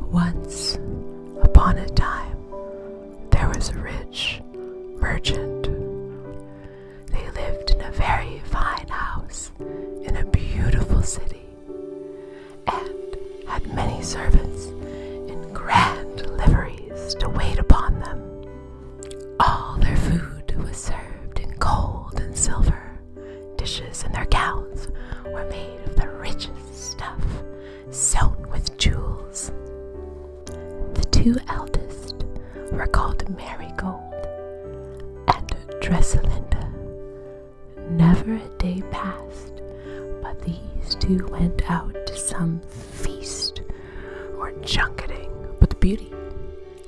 Once upon a time, there was a rich merchant. They lived in a very fine house in a beautiful city and had many servants in grand liveries to wait upon them. All their food was served in gold and silver, Dishes and their gowns were made of the richest stuff, sewn with jewels. The two eldest were called Marigold and Dresalinda. Never a day passed but these two went out to some feast or junketing But the beauty,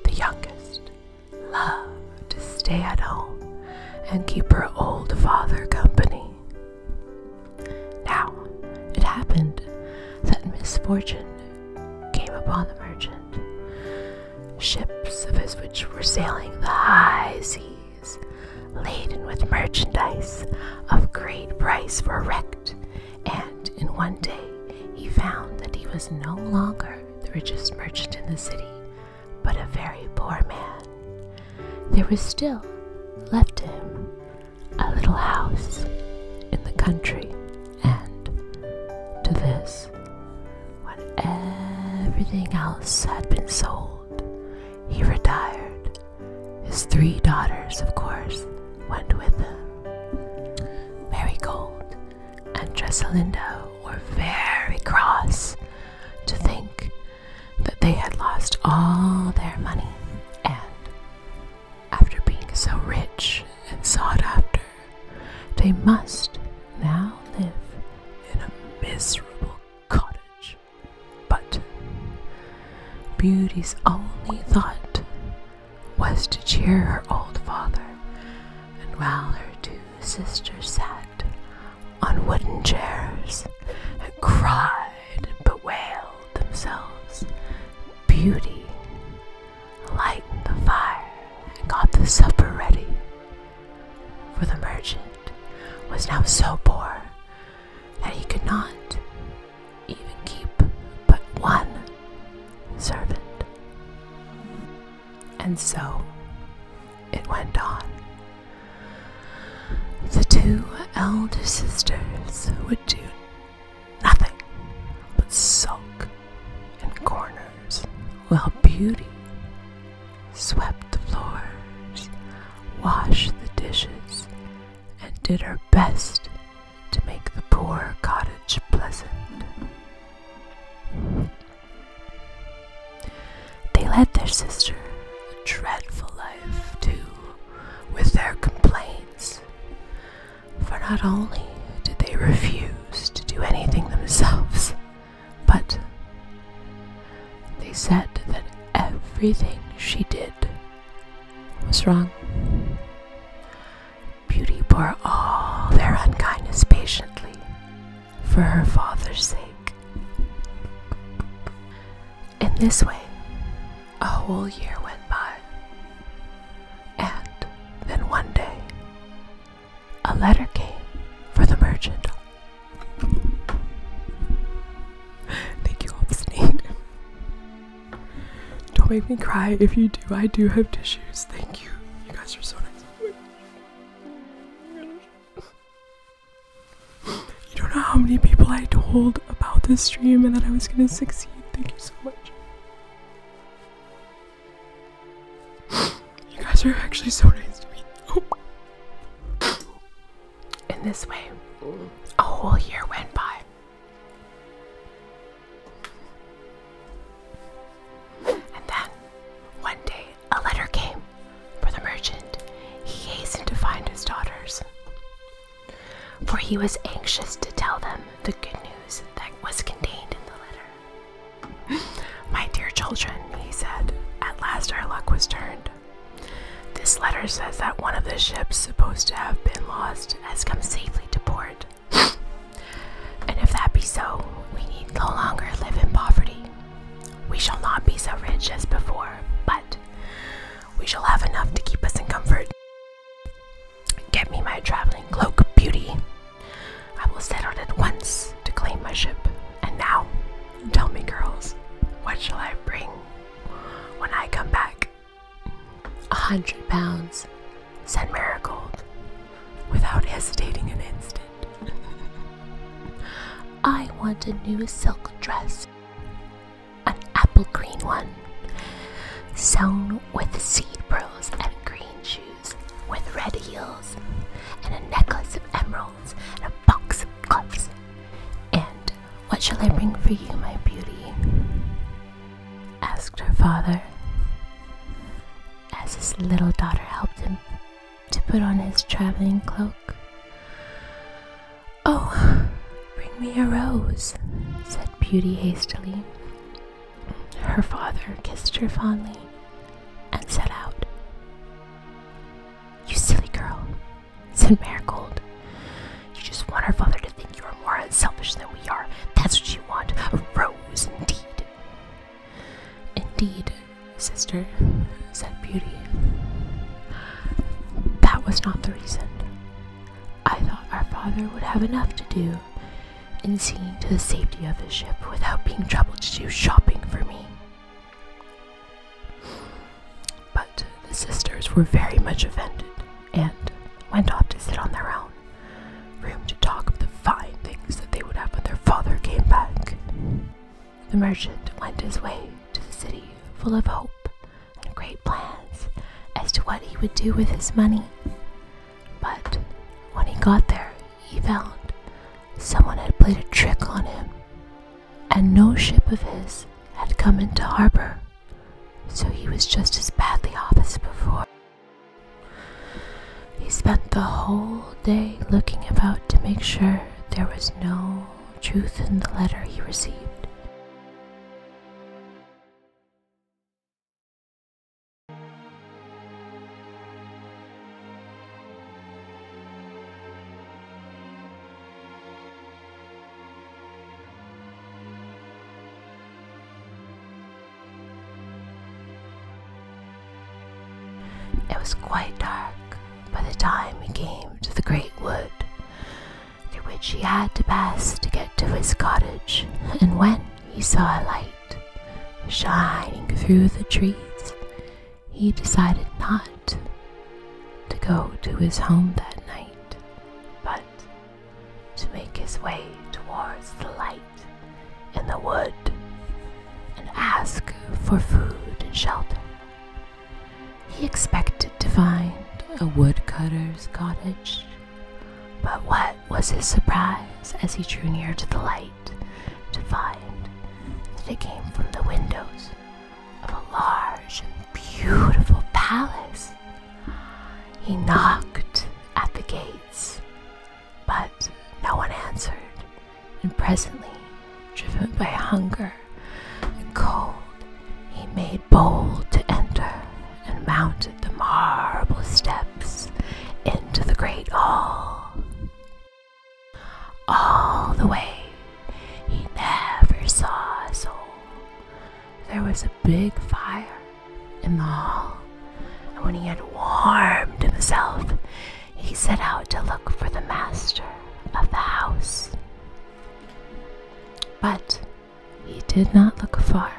the youngest, loved to stay at home and keep her old father company. Now, it happened that misfortune came upon the merchant. Ships of his which were sailing the high seas, laden with merchandise of great price, were wrecked, and in one day he found that he was no longer the richest merchant in the city, but a very poor man. There was still left to him a little house in the country, and to this, when everything else had been sold, he retired. His three daughters, of course, went with him. Marigold and Dresselinda were very cross to think that they had lost all their money and, after being so rich and sought after, they must now live in a miserable cottage. But Beauty's only thought was to cheer her old father, and while her two sisters sat on wooden chairs and cried and bewailed themselves. Beauty lightened the fire and got the supper ready, for the merchant was now so poor that he could not even keep but one servant. And so it went on. The two elder sisters would do nothing but sulk in corners while Beauty swept the floors, washed the dishes, and did her best to make the poor cottage pleasant. They led their sister a dreadful life, too, with their complaints. For not only did they refuse to do anything themselves, but they said that everything she did was wrong. Beauty bore all their unkindness patiently, for her father's sake. In this way, a whole year went by. And then one day, a letter came for the merchant. Thank you, Obstinate. Don't make me cry. If you do, I do have tissues. Thank you. You guys are so nice. You don't know how many people I told about this stream and that I was gonna succeed. Thank you so much. You guys are actually so nice to me. In this way, a whole year went by. And then, one day, a letter came for the merchant. He hastened to find his daughters, for he was anxious to tell them the good news that was contained in the letter. My dear children, he said, at last our luck was turned. This letter says that one of the ships supposed to have been lost has come safely to port. and if that be so, we need no longer live in poverty. We shall not be so rich as before, but we shall have enough to keep us in comfort. Get me my traveling cloak, Beauty. I will set out at once to claim my ship. And now, tell me, girls, what shall I bring when I come back? A hundred pounds, said Marigold, without hesitating an instant. I want a new silk dress, an apple green one, sewn with seed pearls and green shoes with red heels, and a necklace of emeralds and a box of gloves. And what shall I bring for you, my beauty? asked her father as his little daughter helped him to put on his traveling cloak. Oh, bring me a rose, said Beauty hastily. Her father kissed her fondly and set out. You silly girl, said Marigold. You just want her father to think you are more unselfish than we are. That's what you want, a rose indeed. Indeed, sister, said Beauty. That was not the reason. I thought our father would have enough to do in seeing to the safety of his ship without being troubled to do shopping for me. But the sisters were very much offended and went off to sit on their own room to talk of the fine things that they would have when their father came back. The merchant went his way to the city full of hope and great plans as to what he would do with his money. But when he got there, he found someone had played a trick on him, and no ship of his had come into harbor, so he was just as badly off as before. He spent the whole day looking about to make sure there was no truth in the letter he received. It was quite dark by the time he came to the great wood, through which he had to pass to get to his cottage, and when he saw a light shining through the trees, he decided not to go to his home that night, but to make his way towards the light in the wood and ask for food and shelter. He expected to find a woodcutter's cottage, but what was his surprise as he drew near to the light to find that it came from the windows of a large and beautiful palace. He knocked at the gates, but no one answered, and presently, driven by hunger and cold, he made bold to enter and mounted the marble steps into the great hall. All the way, he never saw a soul. There was a big fire in the hall, and when he had warmed himself, he set out to look for the master of the house. But he did not look far,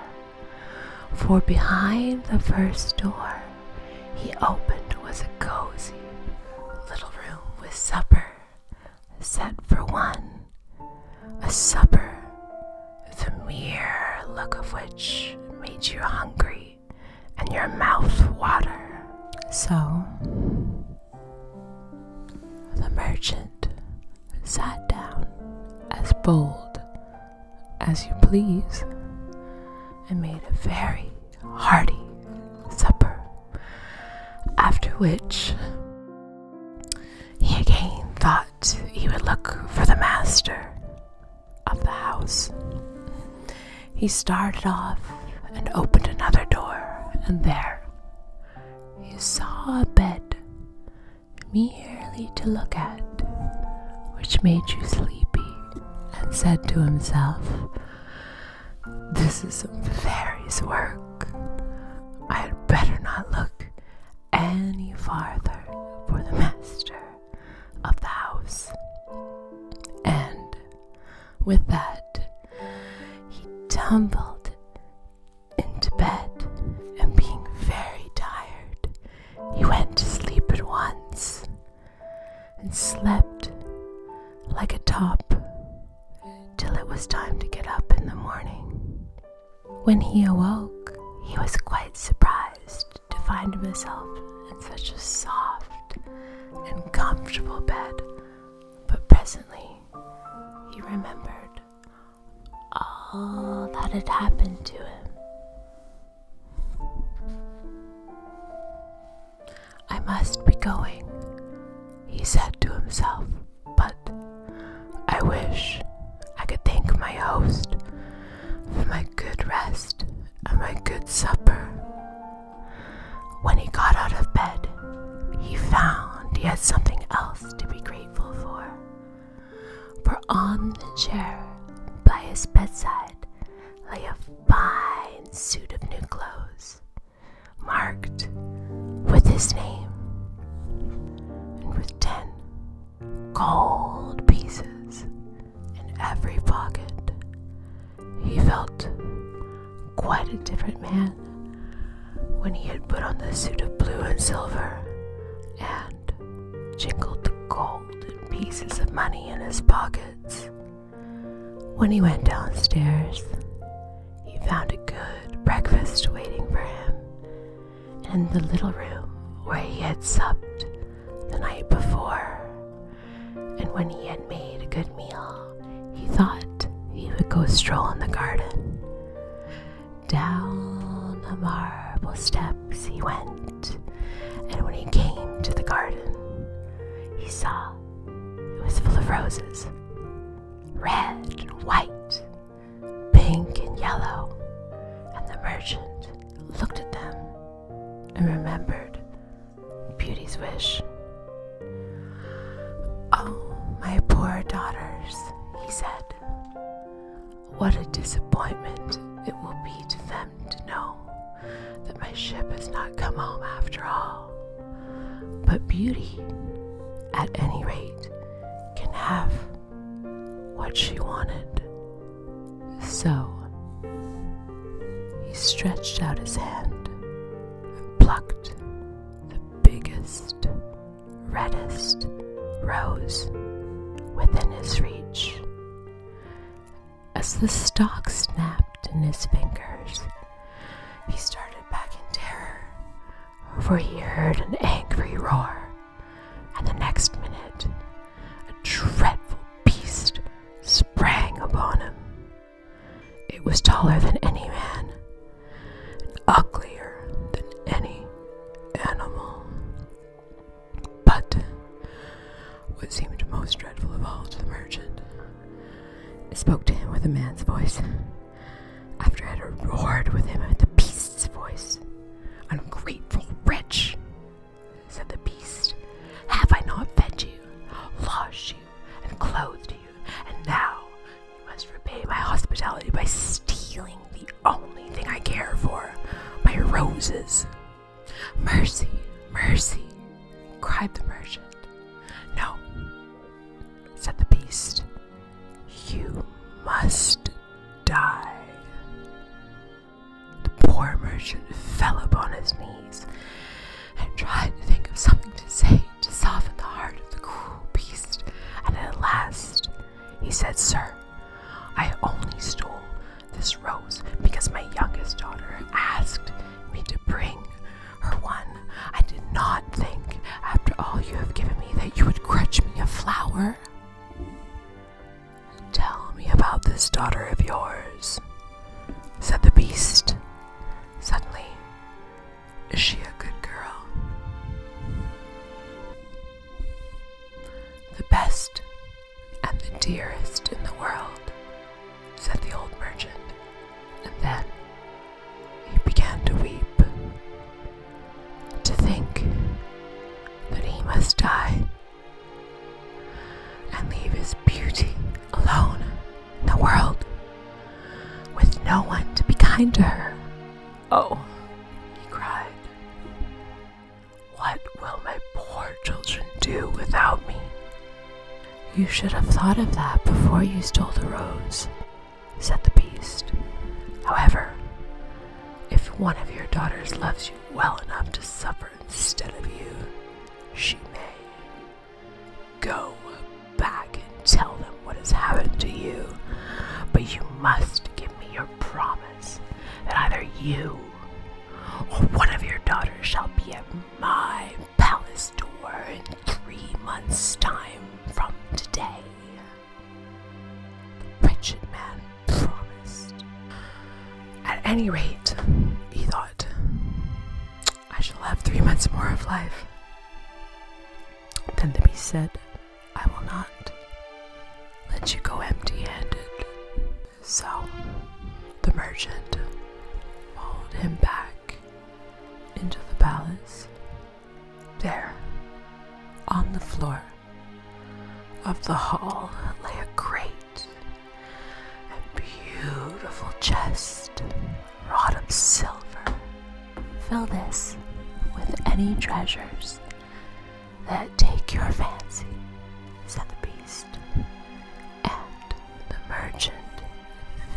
for behind the first door he opened was a cozy little room with supper set for one, a supper the mere look of which made you hungry and your mouth water. So the merchant sat down as bold as you please and made a very hearty supper, after which he again thought he would look for the master of the house. He started off and opened another door, and there he saw a bed merely to look at, which made you sleepy, and said to himself, This is some fairy's work. I had better not look any farther for the master of the house. And with that, he tumbled into bed, and being very tired, he went to sleep at once and slept like a top till it was time to get up in the morning. When he awoke, he was quite surprised to find himself in such a soft and comfortable bed, but presently he remembered all that had happened to him. I must be going, he said to himself, but I wish I could thank my host for my good rest and my good supper. When he got out of bed, he found he had something else to be grateful for. For on the chair by his bedside lay a fine suit of new clothes, marked with his name and with ten gold pieces in every pocket. He felt quite a different man when he had put on the suit of blue and silver and jingled the gold and pieces of money in his pockets. When he went downstairs, he found a good breakfast waiting for him in the little room where he had supped the night before and when he had made a good meal, he thought he would go stroll in the garden. Down the marble steps he went, and when he came to the garden, he saw it was full of roses red and white, pink and yellow. And the merchant looked at them and remembered Beauty's wish. Oh, my poor daughters, he said. What a disappointment it will be to them to know that my ship has not come home after all. But Beauty, at any rate, can have what she wanted. So he stretched out his hand and plucked the biggest, reddest rose within his reach. As the stalk snapped in his fingers, he started back in terror, for he heard an angry roar, and the next minute a dreadful beast sprang upon him. It was taller than any man, uglier than any animal. But what seemed most dreadful of all to the merchant spoke to him with a man's voice. After it had roared with him at the beast's voice, ungrateful wretch, said the beast. Have I not fed you, washed you, and clothed you, and now you must repay my hospitality by stealing the only thing I care for, my roses. Mercy, mercy, cried the merchant. No, said the beast, you must die. The poor merchant fell upon his knees and tried to think of something to say to soften the heart of the cruel beast, and at last he said, Sir, I only stole this rose because my youngest daughter asked me to bring her one. I did not think, after all you have given me, that you would grudge me a flower. Tell me about this daughter of yours, said the beast. Suddenly, is she a good girl? The best and the dearest in the world, said the old merchant, and then he began to weep. To think that he must die and leave his beauty alone in the world with no one to be kind to her. Oh, he cried, what will my poor children do without me? You should have thought of that before you stole the rose, said the beast. However, if one of your daughters loves you well enough to suffer instead of you, she may. Go back and tell them what has happened to you, but you must give me your promise that either you or one of your daughters shall be at my palace door in three months' time from today. The wretched man promised. At any rate, he thought, I shall have three months more of life. Then the beast said, I will not let you go empty handed. So the merchant followed him back into the palace. There, on the floor of the hall, lay a great a beautiful chest wrought of silver. Fill this with any treasures that take your fancy, said the beast. And the merchant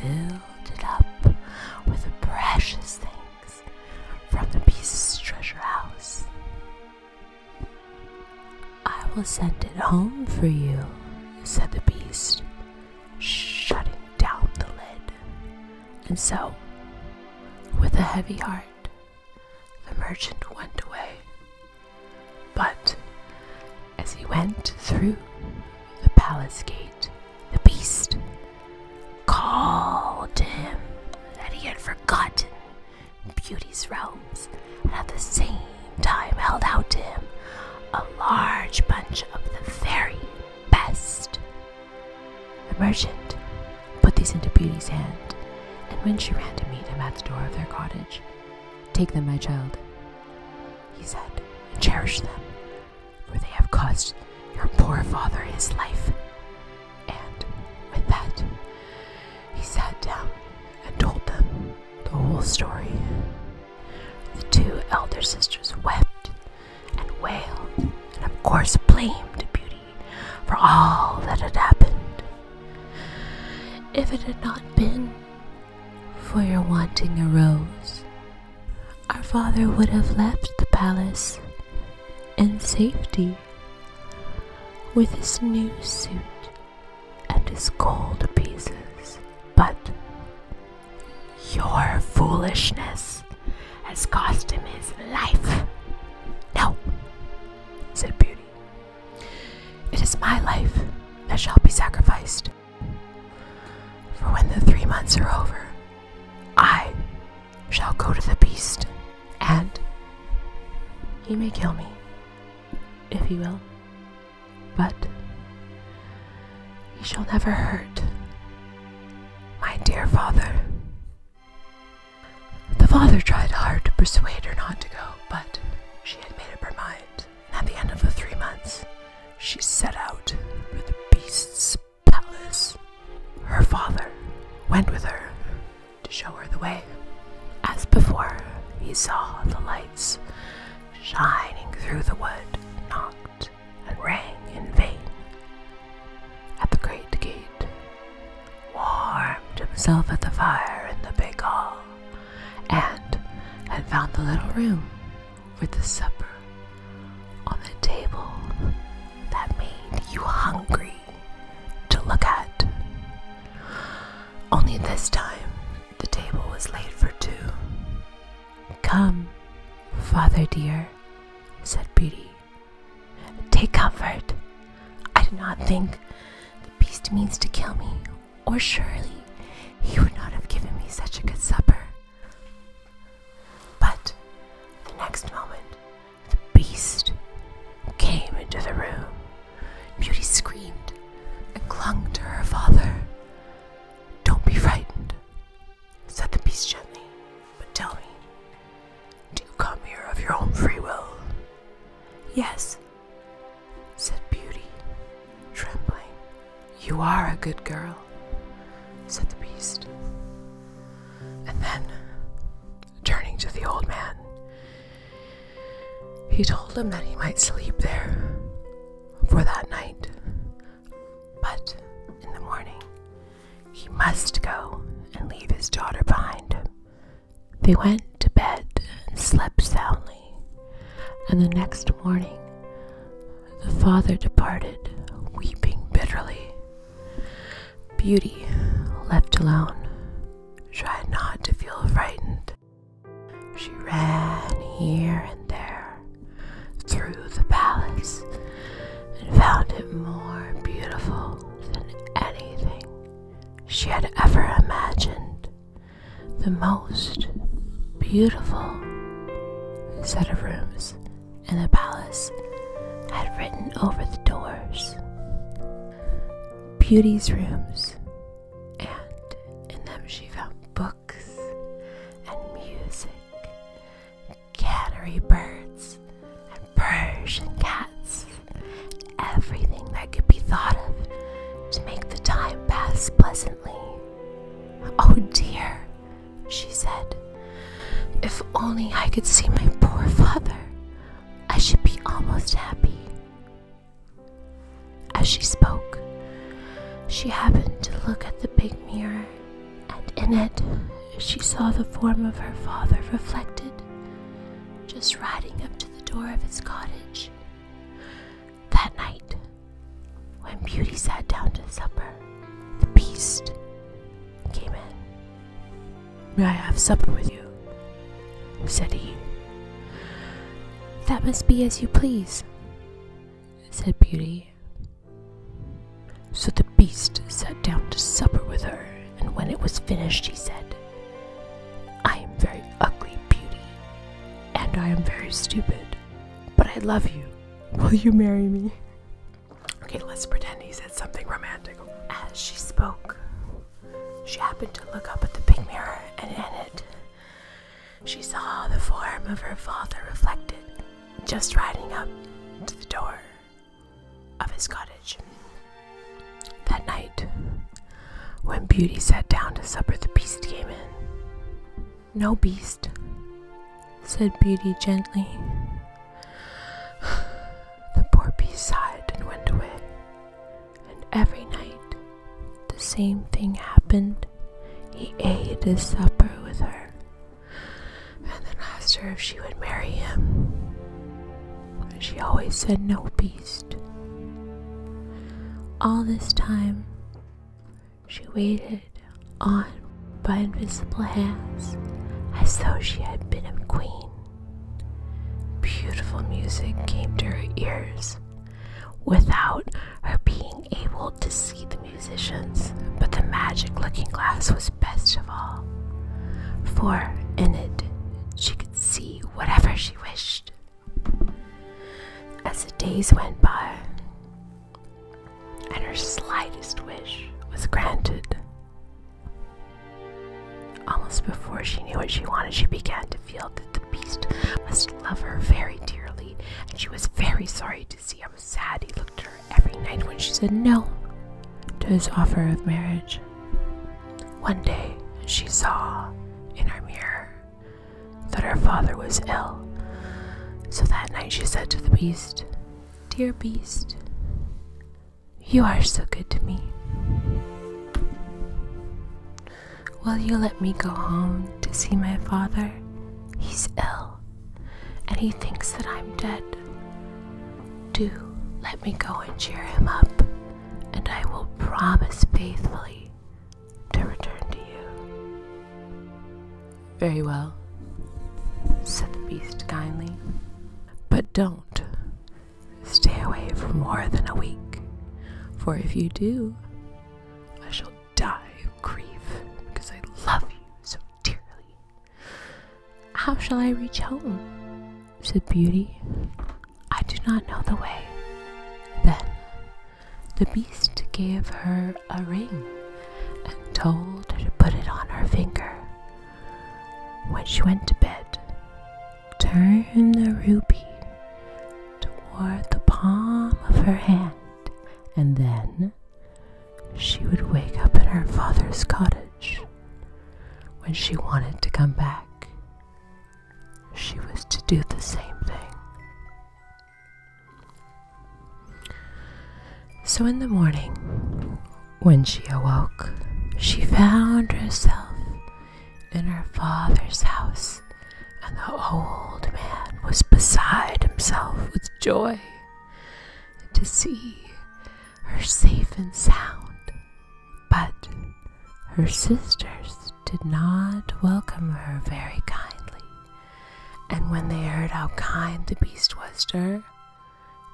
filled it up with the precious things from the beast's treasure house. I will send it home for you, said the beast, shutting down the lid. And so, with a heavy heart, the merchant went away. But as he went through the palace gate, the beast called to him that he had forgotten beauty's realms, and at the same time held out to him a large bunch of the very best. The merchant put these into Beauty's hand, and when she ran to meet him at the door of their cottage, Take them, my child, he said, cherish them, for they have cost your poor father his life. And with that, he sat down and told them the whole story. The two elder sisters wept and wailed, and of course blamed Beauty for all that had happened. If it had not been for your wanting a rose, our father would have left the palace in safety with his new suit and his gold pieces. But your foolishness has cost him his life. No, said Beauty. It is my life that shall be sacrificed. For when the three months are over, I shall go to the beast, and he may kill me, if he will but he shall never hurt my dear father. The father tried hard to persuade her not to go, but she had made up her mind, and at the end of the three months, she set out for the beast's palace. Her father went with her to show her the way. As before, he saw the light shining through the wood knocked and rang in vain. At the great gate, warmed himself at the fire in the big hall, and had found the little room with the supper on the table that made you hungry to look at. Only this time the table was laid for two. Come, father dear, said Beauty. Take comfort. I do not think the beast means to kill me, or surely he would not have given me such a good supper. But the next moment, the beast came into the room. Beauty screamed and clung to her father. Don't be frightened, said the beast gently, but tell me, do you come here of your own free will? Yes, said Beauty, trembling. You are a good girl, said the beast. And then, turning to the old man, he told him that he might sleep there for that night, but in the morning he must go and leave his daughter behind They went to bed and slept soundly, and the next morning the father departed, weeping bitterly. Beauty, left alone, tried not to feel frightened she ran here and there through the palace and found it more beautiful than anything she had ever imagined. The most beautiful set of rooms in the palace had written over the doors Beauty's rooms and in them she found books and music, canary birds and Persian cats, everything that could be thought of to make the time pass pleasantly. Oh dear, she said, if only I could see my poor father, I should be almost happy. As she spoke, she happened to look at the big mirror, and in it she saw the form of her father reflected, just riding up to the door of his cottage. That night, when Beauty sat down to supper, the beast came in. May I have supper with you? said he. That must be as you please, said Beauty. So the beast sat down to supper with her, and when it was finished, he said, I am very ugly, Beauty, and I am very stupid, but I love you. Will you marry me? Okay, let's pretend he said something romantic. As she spoke, she happened to look up at the big mirror, and in it, she saw the form of her father reflected, just riding up to the door of his cottage. That night, when Beauty sat down to supper, the beast came in. No, beast, said Beauty gently. The poor beast sighed and went away and every night the same thing happened. He ate his supper with her and then asked her if she would marry him. And she always said, No, beast. All this time, she waited on by invisible hands as though she had been a queen. Beautiful music came to her ears without her being able to see the musicians, but the magic looking glass was best of all, for in it she could see whatever she wished. As the days went by, and her slightest wish was granted. Almost before she knew what she wanted, she began to feel that the beast must love her very dearly, and she was very sorry to see how sad he looked at her every night when she said no to his offer of marriage. One day, she saw in her mirror that her father was ill, so that night she said to the beast, Dear beast, you are so good to me. Will you let me go home to see my father? He's ill, and he thinks that I'm dead. Do let me go and cheer him up, and I will promise faithfully to return to you. Very well, said the beast kindly, but don't Stay away for more than a week, for if you do, I shall die of grief because I love you so dearly. How shall I reach home? said Beauty. I do not know the way. Then the beast gave her a ring and told her to put it on her finger. When she went to bed, Turn the ruby toward the palm of her hand, and then she would wake up in her father's cottage. When she wanted to come back, she was to do the same thing. So in the morning, when she awoke, she found herself in her father's house, and the old man was beside himself with joy to see her safe and sound. But her sisters did not welcome her very kindly, and when they heard how kind the beast was to her,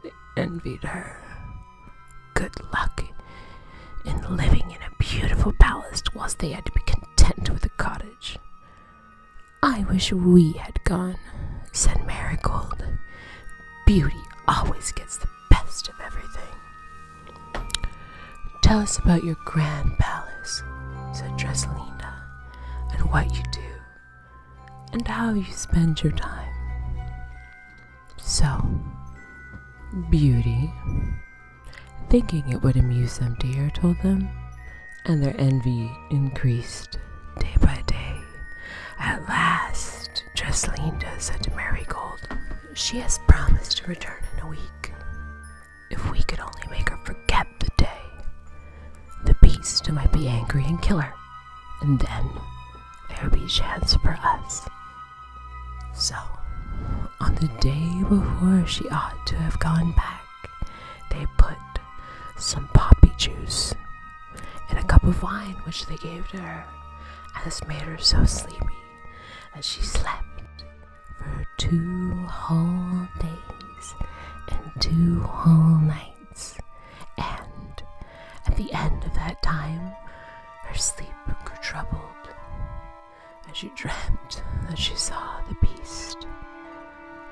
they envied her good luck in living in a beautiful palace whilst they had to be content with a cottage. I wish we had gone, said Marigold. Beauty always gets the best of everything. Tell us about your grand palace, said Dresselinda, and what you do, and how you spend your time. So, Beauty, thinking it would amuse them dear, told them, and their envy increased day by day. At last, Jeslinda said to Marigold, She has promised to return in a week. If we could only make her forget the day, the beast might be angry and kill her, and then there would be a chance for us so, on the day before she ought to have gone back, they put some poppy juice in a cup of wine which they gave to her, and this made her so sleepy that she slept for two whole days and two whole nights, and at the end of that time her sleep grew troubled and she dreamt that she saw the beast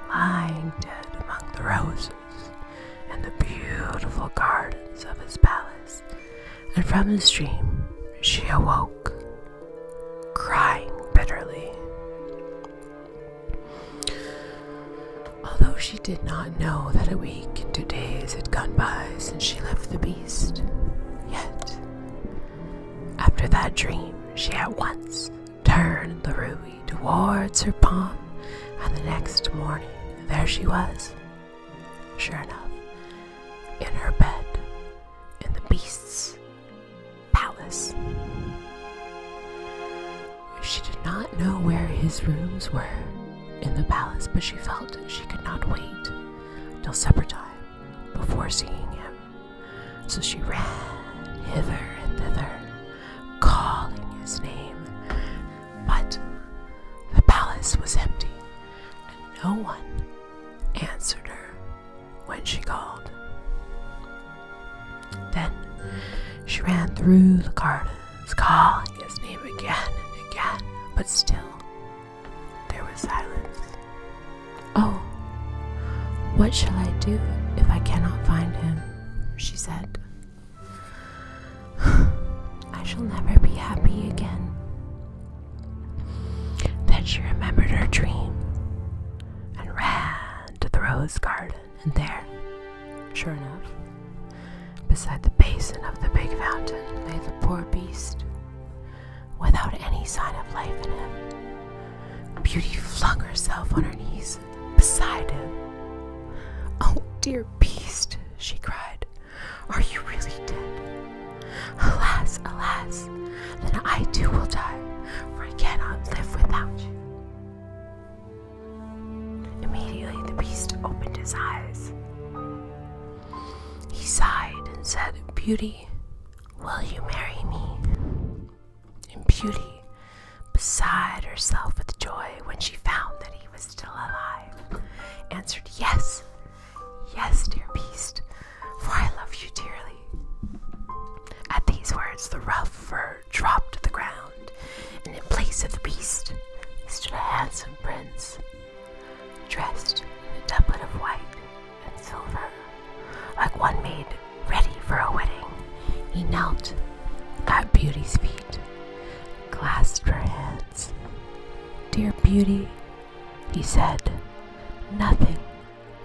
lying dead among the roses in the beautiful gardens of his palace. And from the dream, she awoke, crying bitterly. Although she did not know that a week and two days had gone by since she left the beast yet. After that dream, she at once turned the ruby towards her palm, and the next morning there she was, sure enough, in her bed, in the beast's palace. She did not know where his rooms were in the palace, but she felt she could not wait till supper time before seeing him. So she ran hither and thither, calling his name. But the palace was empty, and no one answered her when she called. Then she ran through the gardens, calling his name again and again, but still there was silence. Oh, what shall I do if I cannot find him? she said. I shall never be happy again. Then she remembered her dream and ran to the rose garden, and there, sure enough, beside the basin of the big fountain, lay the poor beast without any sign of life in him. Beauty flung herself on her knees beside him. Oh, dear beast, she cried, are you really dead? Alas, alas, then I too will die, for I cannot live without you. Immediately the beast opened his eyes. He sighed and said, Beauty, will you marry me? And Beauty, beside herself with joy when she found that he was still alive, answered, Yes, yes, dear beast, for I love you dearly. At these words, the rough fur dropped to the ground, and in place of the beast stood a handsome prince dressed in a doublet of white and silver, like one made ready for a wedding. He knelt at Beauty's feet, clasped her hands. Dear Beauty, he said, nothing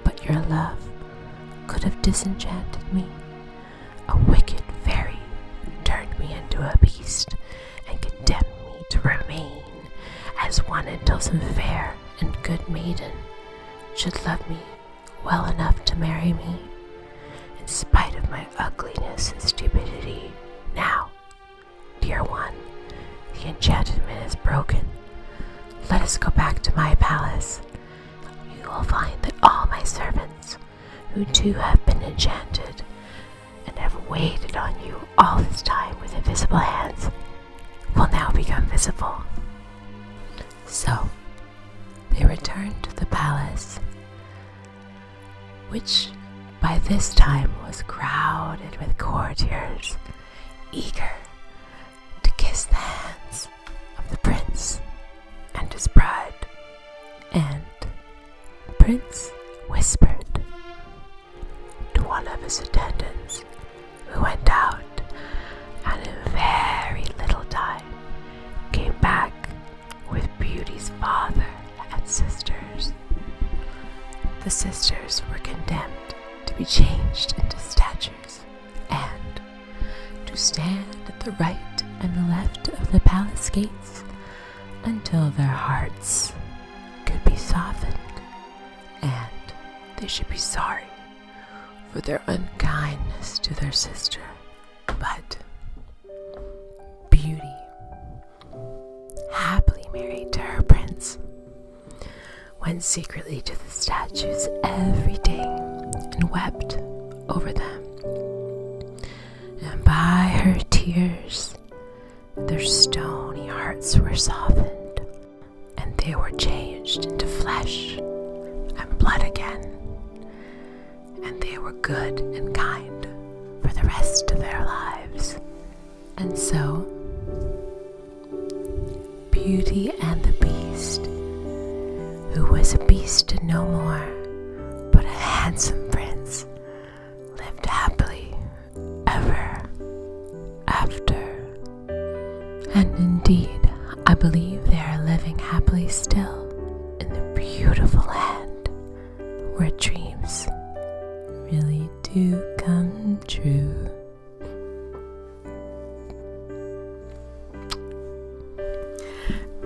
but your love could have disenchanted me. A wicked fairy turned me into a beast and condemned me to remain as one Does some fair and good maiden should love me well enough to marry me, in spite of my ugliness and stupidity. Now, dear one, the enchantment is broken. Let us go back to my palace. You will find that all my servants, who too have been enchanted, and have waited on you all this time with invisible hands will now become visible. So they returned to the palace, which by this time was crowded with courtiers eager to kiss the hands of the prince and his bride. And the prince whispered to one of his attendants, who went out and in very little time came back with Beauty's father and sisters. The sisters were condemned to be changed into statues and to stand at the right and the left of the palace gates until their hearts could be softened, and they should be sorry for their unkindness to their sister. But Beauty happily married to her prince went secretly to the statues every day and wept over them. And by her tears, their stony hearts were softened, and they were changed into flesh and blood again. And they were good and kind for the rest of their lives. And so, Beauty and the Beast, who was a beast no more, but a handsome prince, lived happily ever after. And indeed, I believe they are living happily still in the beautiful land where dreams really do come true.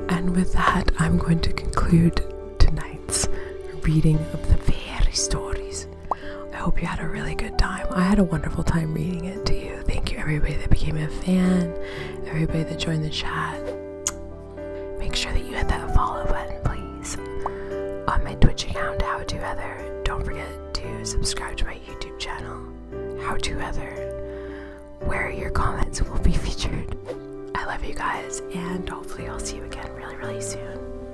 And with that, I'm going to conclude tonight reading of the fairy stories. I hope you had a really good time. I had a wonderful time reading it to you. Thank you, everybody that became a fan, everybody that joined the chat. Make sure that you hit that follow button, please. On my Twitch account, How To Heather. Don't forget to subscribe to my YouTube channel, How To Heather, where your comments will be featured. I love you guys, and hopefully, I'll see you again really, really soon.